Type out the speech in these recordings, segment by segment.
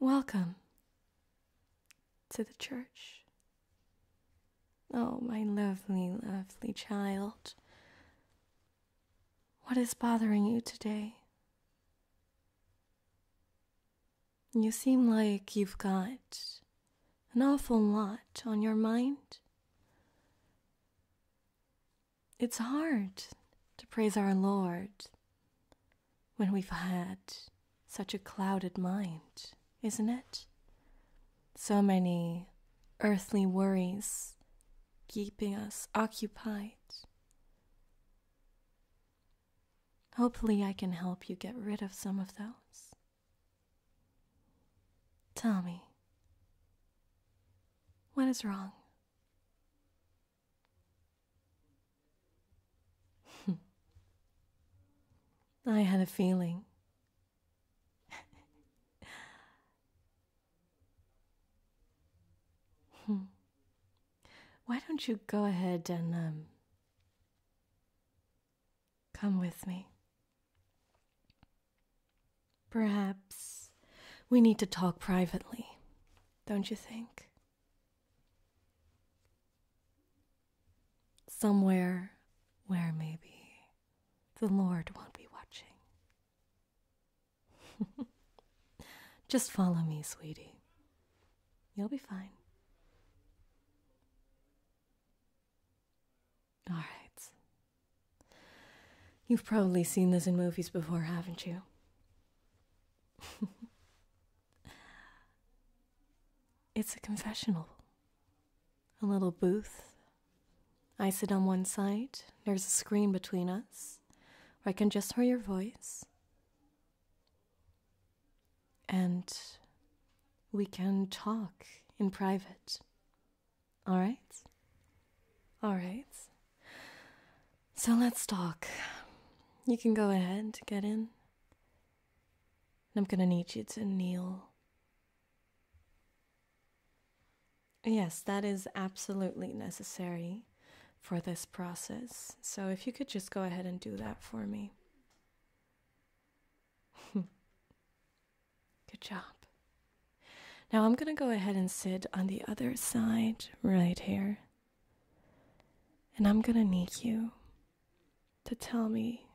Welcome to the church. Oh, my lovely, lovely child. What is bothering you today? You seem like you've got an awful lot on your mind. It's hard to praise our Lord when we've had such a clouded mind, isn't it? So many earthly worries keeping us occupied. Hopefully, I can help you get rid of some of those. Tell me, what is wrong? I had a feeling. Why don't you go ahead and um, come with me? Perhaps we need to talk privately, don't you think? Somewhere where maybe the Lord won't be watching. Just follow me, sweetie. You'll be fine. All right. You've probably seen this in movies before, haven't you? it's a confessional. A little booth. I sit on one side, there's a screen between us, where I can just hear your voice. And we can talk in private all right? All right. So let's talk. You can go ahead, get in. I'm gonna need you to kneel. Yes, that is absolutely necessary for this process. So if you could just go ahead and do that for me. Good job. Now I'm going to go ahead and sit on the other side right here. And I'm going to need you to tell me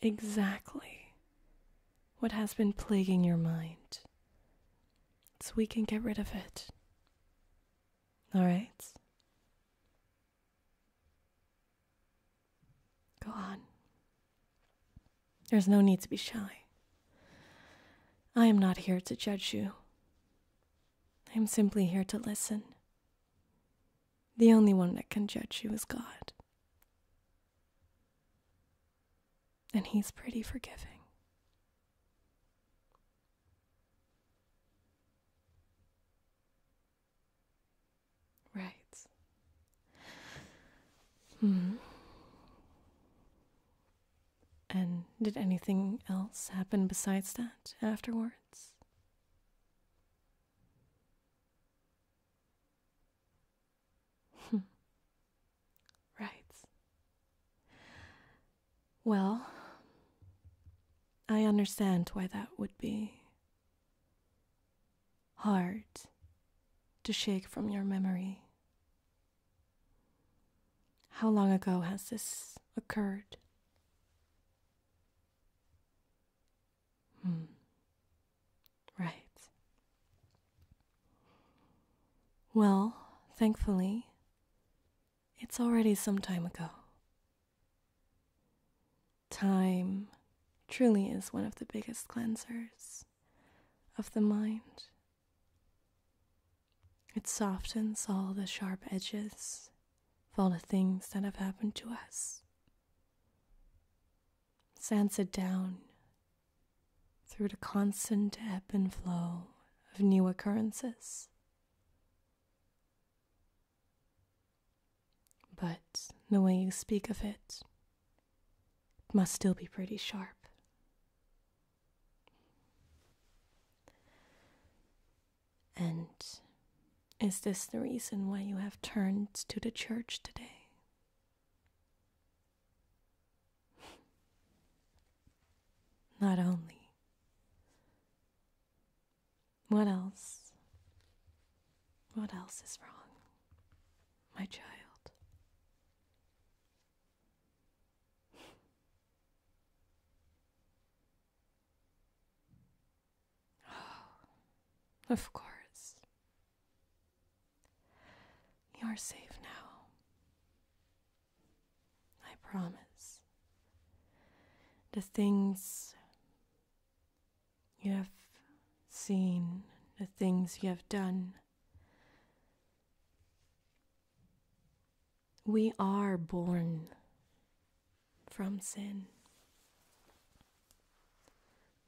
exactly what has been plaguing your mind so we can get rid of it. All right? Go on. There's no need to be shy. I am not here to judge you. I am simply here to listen. The only one that can judge you is God. And He's pretty forgiving. Right. Hmm. And did anything else happen besides that afterwards? Hmm. right. Well, I understand why that would be hard to shake from your memory. How long ago has this occurred? Hmm. Right. Well, thankfully, it's already some time ago. Time truly is one of the biggest cleansers of the mind. It softens all the sharp edges of all the things that have happened to us, sands it down through the constant ebb and flow of new occurrences. But the way you speak of it must still be pretty sharp. And is this the reason why you have turned to the church today? Not only what else? What else is wrong, my child? oh, of course. You are safe now. I promise. The things you have seen the things you have done. We are born from sin.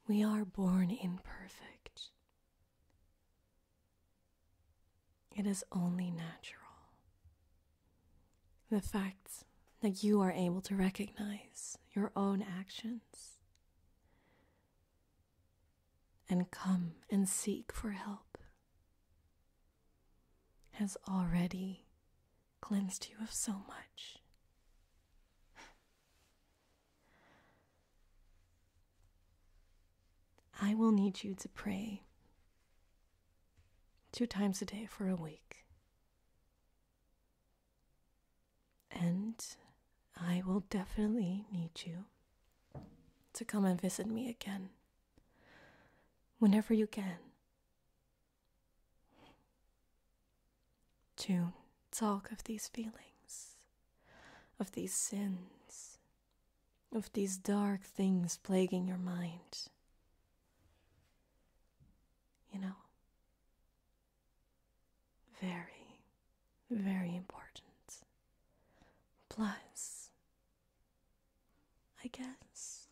We are born imperfect. It is only natural the fact that you are able to recognize your own actions and come and seek for help has already cleansed you of so much. I will need you to pray two times a day for a week. And I will definitely need you to come and visit me again whenever you can. To talk of these feelings, of these sins, of these dark things plaguing your mind. You know? Very, very important. Plus, I guess,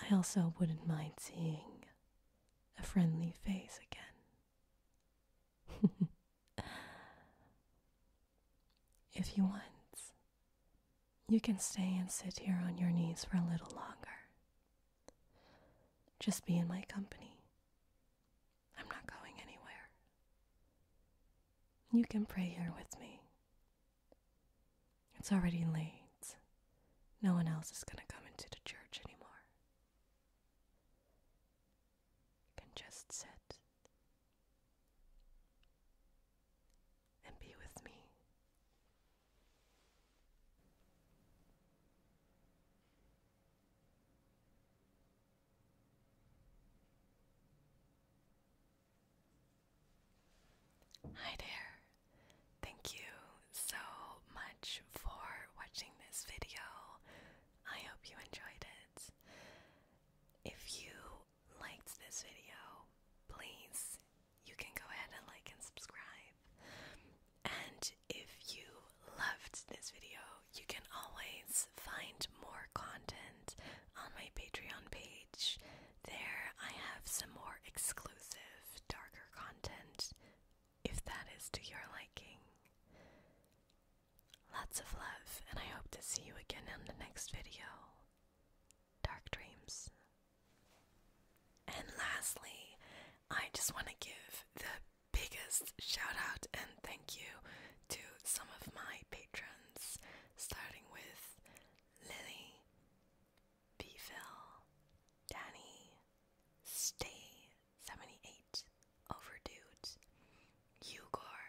I also wouldn't mind seeing a friendly face again. If you want, you can stay and sit here on your knees for a little longer. Just be in my company. I'm not going anywhere. You can pray here with me. It's already late. No one else is going to come into the church anymore. You can just sit and be with me. Hi there. Thank you so much for watching this video. I hope you enjoyed it. If you liked this video, please you can go ahead and like and subscribe. And if you loved this video, you can always find more content on my Patreon page. There I have some more exclusive, darker content if that is to your liking. Lots of love, and I hope to see you again in the next video. Dark dreams. And lastly, I just want to give the biggest shout out and thank you to some of my patrons, starting with Lily, Phil, Danny, Stay, 78, Overdude, Ugor,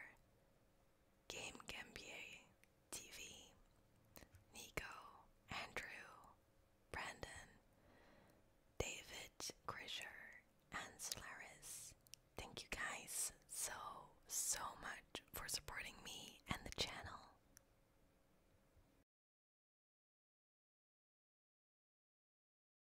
Game Gambier TV, Nico, Andrew, Brandon, David Grisher, and Solaris. Thank you guys so, so much for supporting me and the channel.